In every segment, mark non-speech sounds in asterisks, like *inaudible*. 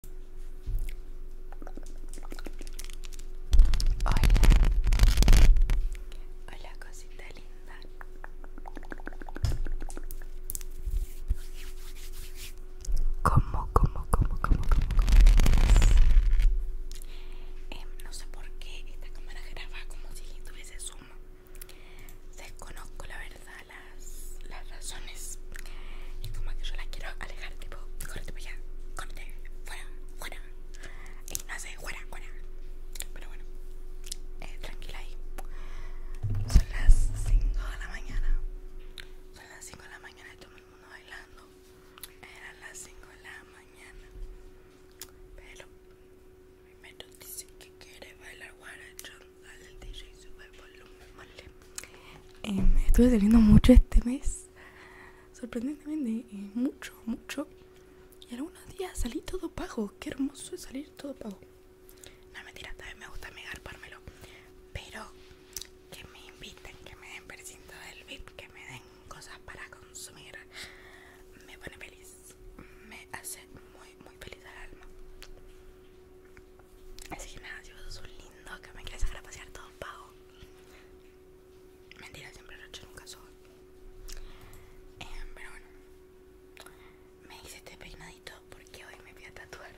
Hola, hola cosita linda. ¿Cómo, cómo, cómo, cómo, cómo, cómo? Em, no sé por qué esta cámara graba como si tuviese zoom. Desconozco la verdad las, las razones y como que yo la quiero alejar tipo corte para allá corte fuera fuera y no sé fuera fuera pero bueno eh, tranquila ahí son las 5 de la mañana son las 5 de la mañana y todo el mundo bailando eran las 5 de la mañana pero me dice que quiere bailar guarachón Estuve saliendo mucho este mes, sorprendentemente, eh, mucho, mucho. Y algunos días salí todo pago, qué hermoso es salir todo pago. No mentira, también me gusta megarpármelo. Pero que me inviten, que me den precinto del VIP, que me den cosas para consumir, me pone feliz, me hace muy, muy feliz al alma. Así que nada, si vos sos un lindo que me quieres dejar a pasear todo pago. Mentira, siempre lo he hecho, nunca soy. Em, pero bueno, me hice este peinadito porque hoy me fui a tatuar.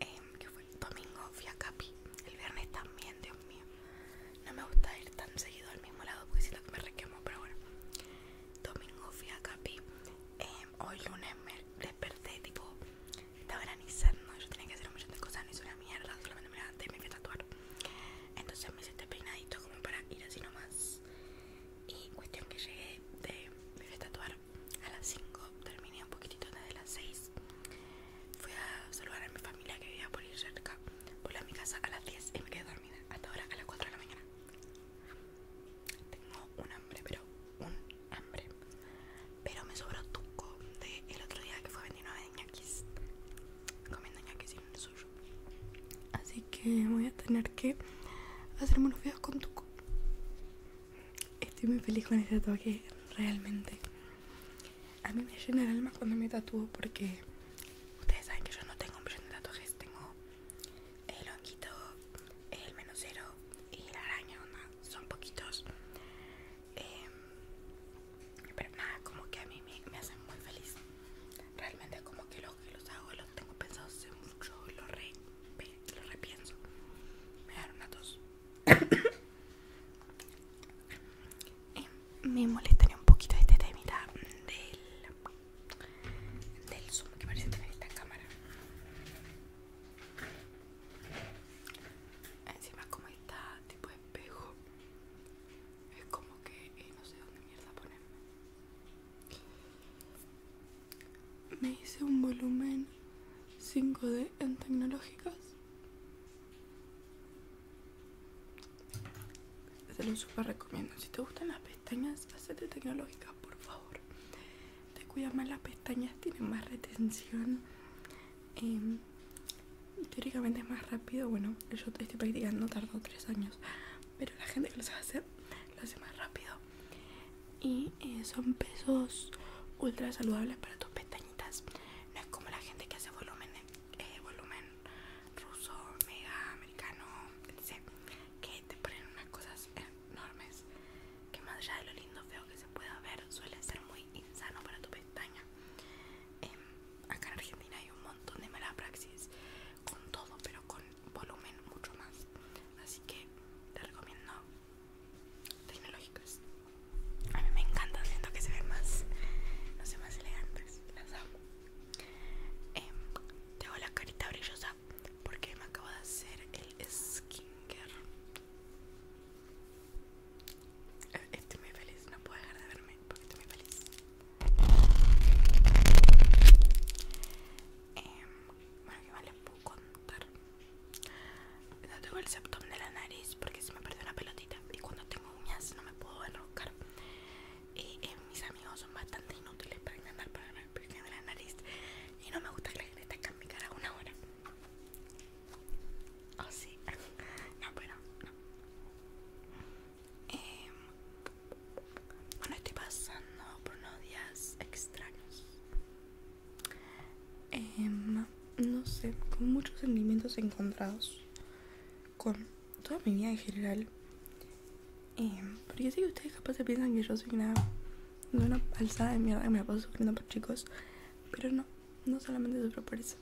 Eh, que fue domingo, fui a Capi. El viernes también, Dios mío. No me gusta ir tan seguido al mismo lado porque lo que me requemo, pero bueno. Domingo fui a Capi. Em, hoy lunes me desperté, tipo, estaba granizando, yo tenía que hacer un montón de cosas, no hice una mierda, solamente me levanté y me fui a tatuar. Entonces me hice este peinadito como para ir así nomás. Y cuestión que llegué de, me fui a tatuar a las 5, terminé un poquitito antes de las 6. Fui a saludar a mi familia que vivía por ir cerca. Volví a mi casa a las 10 y me quedé dormida. Hasta ahora a las 4 de la mañana. Tengo un hambre, pero un hambre. Pero me sobró tuco de el otro día que fue 29 de ñaquis. Comiendo ñaquis sin un suyo. Así que voy a tener que hacerme unos videos con tuco. Estoy muy feliz con ese tatuaje, realmente. A mí me llena el alma cuando me tatúo porque ustedes saben que yo no tengo un de tatuajes, tengo el honguito, el menos cero y la araña, son poquitos. Em, pero nada, como que a mí me, hacen muy feliz. Realmente como que los que los hago los tengo pensados hace mucho, y los repienso. Me dan una tos. *coughs* me molestaría un poquito este temita del, del zoom que parece tener esta cámara. Ah, encima como está tipo de espejo Es como que eh, no sé dónde mierda ponerme Me hice un volumen 5D en tecnológicas se lo super recomiendo. Si te gustan las pestañas, hacete tecnológicas, por favor te cuida más las pestañas, tiene más retención em, teóricamente es más rápido. Bueno, yo estoy practicando, tardo tres años, pero la gente que lo sabe hacer lo hace más rápido. Y eh, son pesos ultra saludables para tus pestañitas. No es como la gente que hace volumen, eh, volumen ruso, mega, americano, Que te ponen unas cosas enormes que más allá de lo lindo feo que se pueda ver suele ser muy insano para tu pestaña em, acá en Argentina hay un montón de mala praxis con todo pero con volumen mucho más así que te recomiendo tecnológicas a mí me encanta siento que se ve más no sé más elegantes las amo em, tengo la carita brillosa porque me acabo de hacer el skincare ah, Estoy muy feliz, no puedo dejar de verme porque estoy muy feliz. Em, bueno, que más les puedo contar? No tengo el septum de la nariz porque se me perdió una pelotita y cuando tengo uñas no me puedo enroscar. Y eh, mis amigos son bastante inútiles para intentar porque me la nariz y no me gusta que la gente tenga en mi cara una hora. Oh, sí. *laughs* No, pero no. Em, bueno, estoy pasando por unos días extraños. no, em, no sé, con muchos sentimientos encontrados. Con toda mi vida en general. Eh, porque si que ustedes capaz se piensan que yo soy una alzada de mierda me la sufriendo por chicos Pero no, no solamente sufro por eso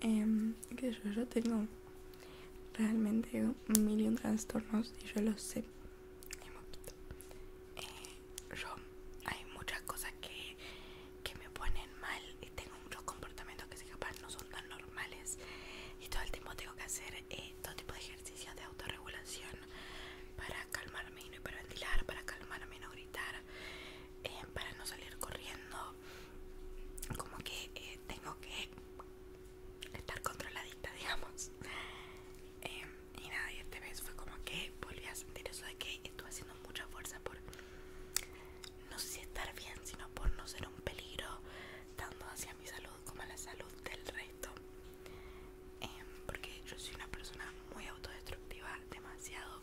em, yo tengo realmente un millón de trastornos y yo lo sé eh, Yo, hay muchas cosas que me ponen mal Y tengo muchos comportamientos que capaz no son tan normales Y todo el tiempo tengo que hacer eh, todo tipo de ejercicios de autorregulación para calmarme y no hiperventilar, para calmarme y no gritar, eh, para no salir corriendo. Como que eh, tengo que estar controladita, *laughs* digamos. Em, y nada, y este mes fue como que volví a sentir eso de que estuve haciendo mucha fuerza por no sé estar bien, sino por no ser un peligro tanto hacia mi salud como a la salud del resto. Em, porque yo soy una persona muy autodestructiva, demasiado,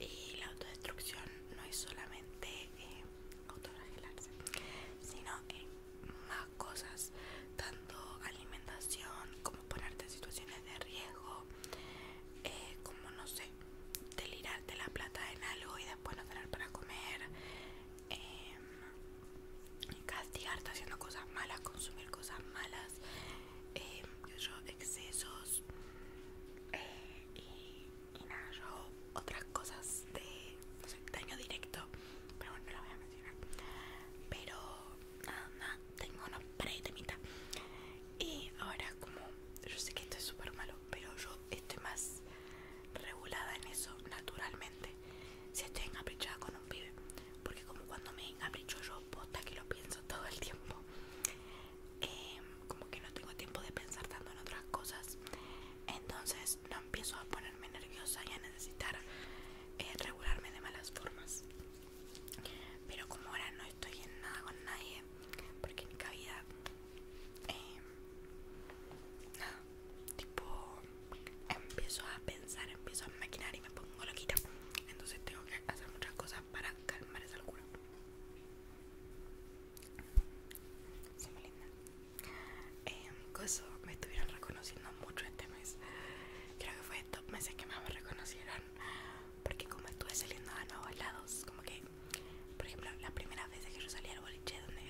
y la autodestrucción no es solamente eh, sino que más cosas, tanto alimentación como ponerte en situaciones de riesgo, eh, como no sé, delirarte la plata en algo y después no tener para comer castigar, em, castigarte haciendo cosas malas, consumir cosas malas, em, excesos eh, y, nada, yo otras cosas de daño directo, pero bueno, no las voy a mencionar. Pero nada, nada tengo una pretemitas. Y ahora como yo sé que esto es súper malo, pero yo estoy más regulada en eso naturalmente si estoy encaprichada con un pibe. Porque como cuando me encapricho yo, posta que lo pienso todo el tiempo. Em, como que no tengo tiempo de pensar tanto en otras cosas. Entonces no empiezo a ponerme nerviosa y a necesitar eh, regularme de malas formas. Pero como ahora no estoy en nada con nadie, porque ni cabida... Em, nada, tipo empiezo a pensar, empiezo a maquinar y me pongo loquita. Entonces tengo que hacer muchas cosas para calmar esa locura. soy muy linda. Em, me estuvieron reconociendo mucho este mes. Creo que fue estos meses que más me reconocieron. Porque como estuve saliendo a nuevos lados, como que, por ejemplo, la primera vez que yo salí al boliche donde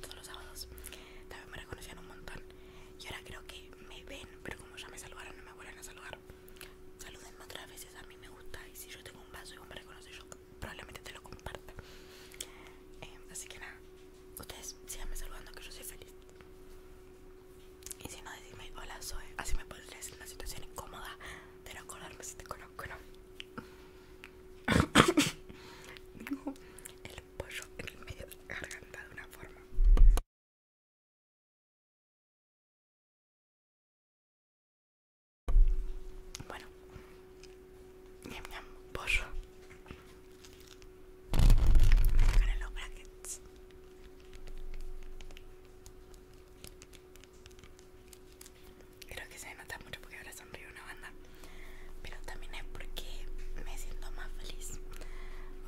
todos los sábados También me reconocían un montón Y ahora creo que me ven Pero como ya me saludaron no me vuelven a saludar Salúdenme otras veces, a mí me gusta Y si yo tengo un vaso y me reconoces Yo probablemente te lo comparte eh, Así que nada Ustedes síganme saludando que yo soy feliz Y si no, decirme Hola soy, así me pondré en una situación incómoda De no acordarme si te conozco no Digo, *laughs* pollo en el medio de la garganta de una forma. Bueno, ñam ñam, pollo. Me los brackets. Creo que se me nota mucho porque ahora son una banda pero también es porque me siento más feliz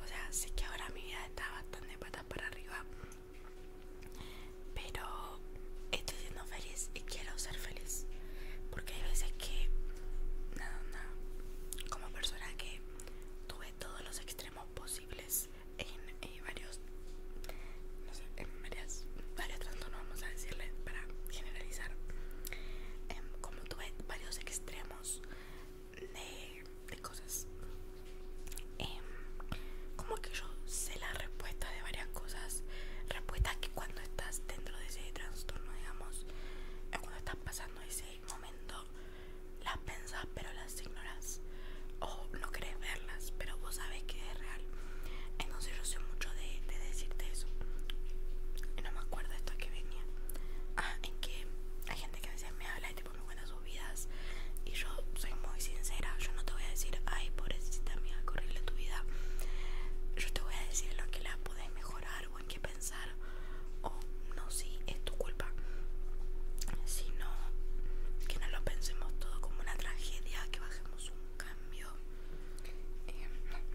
o sea sé que ahora mi vida está bastante patas para arriba pero estoy siendo feliz y quiero ser feliz porque hay veces que nada nada como persona que tuve todos los extremos posibles en, varios no sé en varias varios no vamos a decirle para generalizar em, tuve varios extremos de, cosas em, como que yo sé la respuesta de varias cosas respuestas que cuando estás dentro de ese trastorno digamos cuando estás pasando ese momento las pensas pero las ignoras o no querés verlas pero vos sabes que es real no sé yo sé mucho de, decirte eso. Y no me acuerdo esto que venía. Ah, en que hay gente que me habla y tipo me cuenta sus vidas. Y yo soy muy sincera. Yo no te voy a decir, ay, pobrecita amiga, correrle tu vida. Yo te voy a decir lo que la puedes mejorar o en qué pensar. O no, si es tu culpa. Sino que no lo pensemos todo como una tragedia, que bajemos un cambio eh,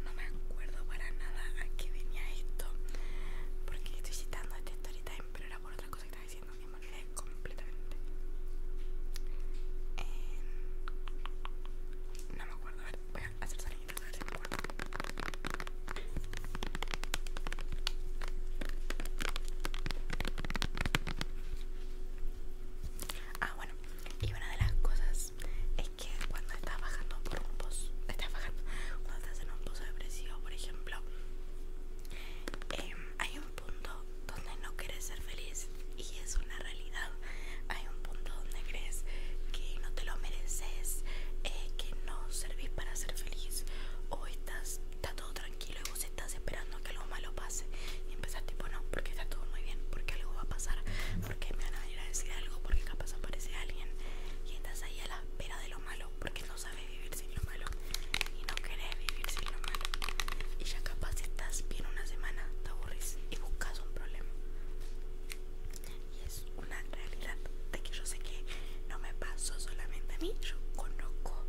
no, me acuerdo para nada a qué venía esto porque estoy citando este storytime pero era por otra cosa que estaba diciendo me completamente eh, no me acuerdo voy a hacer salinitas a ver si me acuerdo Ah, bueno, y una de las cosas es que cuando estás bajando por un pozo, cuando estás en un pozo depresivo, por ejemplo, em, hay un punto donde no quieres ser feliz y es una realidad. Hay un punto donde crees que no te lo mereces, eh, que no servís para ser feliz o estás está todo tranquilo y vos estás esperando que algo malo pase y empezás tipo no, porque está todo muy bien, porque algo va a pasar, porque me van a venir a decir algo, porque capaz aparece alguien y estás ahí a la espera de lo malo, porque no sabes vivir sin lo malo y no querés vivir sin lo malo. Y ya capaz estás bien una semana, te aburres y buscas un problema. Y es una realidad de que yo sé que no me pasó solamente a mí, yo conozco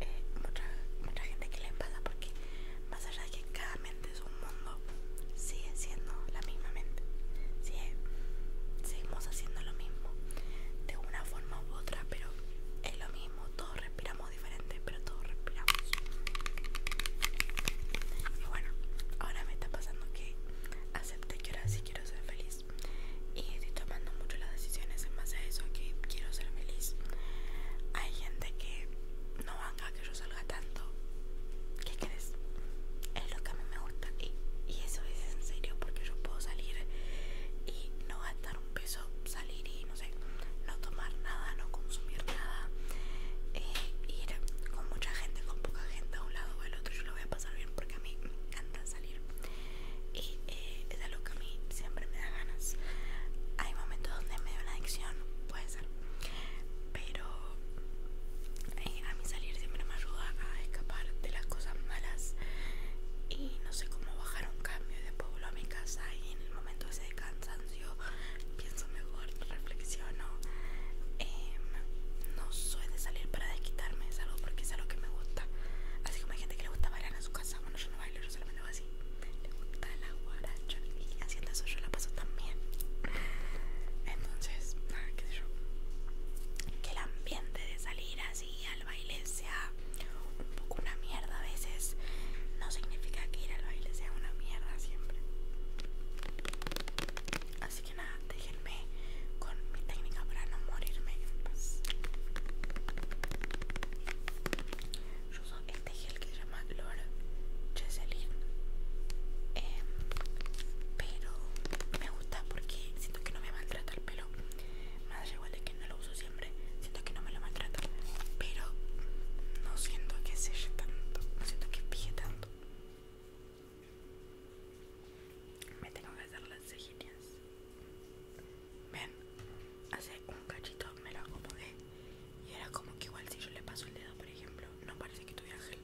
eh, mucha, mucha gente que le pasa porque más allá de que cada mente es un mundo, sigue siendo la misma mente, sigue, seguimos haciendo lo mismo, de una forma u otra, pero es lo mismo, todos respiramos diferente, pero todos respiramos. Y bueno, ahora me está pasando que acepté que ahora sí quiero ser feliz y estoy tomando mucho las decisiones en base a eso, que quiero ser feliz. Hay gente que no a que yo salga tanto. ¿Qué crees? Es lo que a mí me gusta. Y, eso es en serio, porque yo puedo salir y no gastar un peso, salir y no sé, no tomar nada, no consumir nada, eh, ir con mucha gente, con poca gente a un lado o al otro. Yo lo voy a pasar bien porque a mí me encanta salir. Y eh, es algo que a mí siempre me da ganas. Hay momentos donde me da una adicción, puede ser pero eh, a mí salir siempre me ayuda a escapar de las cosas malas y no sé cómo bajar un cambio de pueblo a mi casa y en el momento ese de cansancio pienso mejor, reflexiono em, no suele salir para desquitarme, es algo porque es algo que me gusta así como hay gente que le gusta bailar en su casa, bueno yo no bailo, yo solamente hago así le gusta el la guaracha y haciendo eso yo la paso también. Entonces, nada, qué sé yo. Que el ambiente de salir así al baile sea un poco una mierda a veces no significa que ir al baile sea una mierda siempre. Así que nada, déjenme con mi técnica para no morirme en yo uso este gel que se llama L'or Cheselin eh, pero me gusta porque siento que no me maltrata el pelo más allá igual de que no lo uso siempre siento que no me lo maltrata pero no siento que selle tanto no siento que pille tanto me tengo que hacer las cejillas ven hace un cachito me lo acomodé y era como que igual si yo le paso el dedo, por ejemplo, no parece que tuviera gel.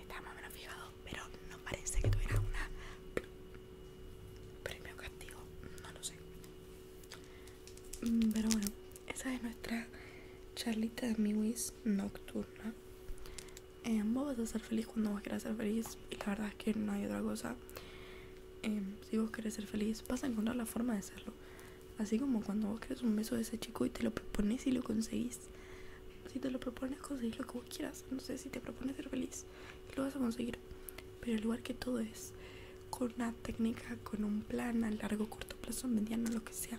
estaba más o menos fijado, pero no parece que tuviera una premio castigo, no lo sé. Mm, pero bueno, esa es nuestra charlita de miwis nocturna. Em, vos vas a ser feliz cuando vos quieras ser feliz y la verdad es que no hay otra cosa. Em, si vos querés ser feliz, vas a encontrar la forma de serlo. Así como cuando vos querés un beso de ese chico y te lo propones y lo conseguís. Si te lo propones, conseguís lo que vos quieras. No sé, si te propones ser feliz, lo vas a conseguir. Pero el lugar que todo es con una técnica, con un plan a largo, corto plazo, mediano, lo que sea.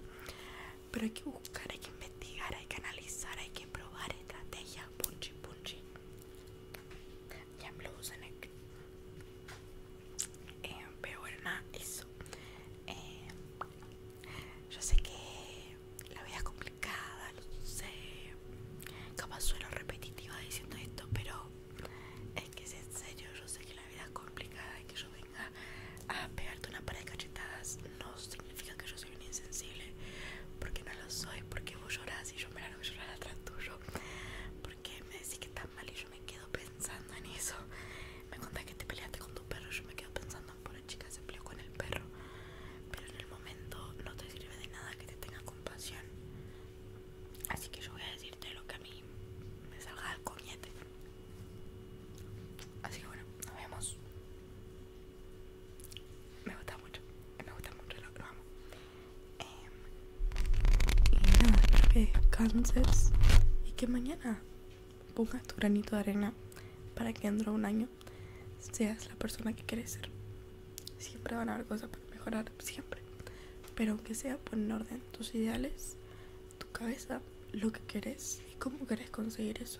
Pero hay que buscar, hay que investigar, hay que analizar, hay que probar estrategias. Punchi, punchi. Ya me lo usen. Eh, pero bueno eso eh, yo sé que la vida es complicada lo sé capaz suelo repetitiva diciendo esto pero es que es en serio yo sé que la vida es complicada y que yo venga a pegarte una par de cachetadas no significa que yo soy insensible porque no lo soy porque vos llorás y yo me largo a llorar atrás tuyo que me decís que estás mal y yo me quedo pensando en eso. Me contás que te peleaste con tu perro y yo me quedo pensando, por la chica, se peleó con el perro. Pero en el momento no te sirve de nada que te tenga compasión. Así que yo voy a decirte lo que a mí me salga al coñete. Así que bueno, nos vemos. Me gusta mucho, me gusta mucho, lo, lo amo. Eh, y nada, que descanses y que mañana pongas tu granito de arena para que dentro de un año seas la persona que quieres ser. Siempre van a haber cosas para mejorar, siempre. Pero aunque sea, pon en orden tus ideales, tu cabeza, lo que querés y cómo querés conseguir eso.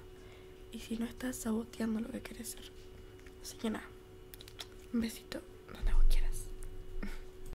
Y si no estás saboteando lo que quieres ser. Así que nada, un besito donde vos quieras.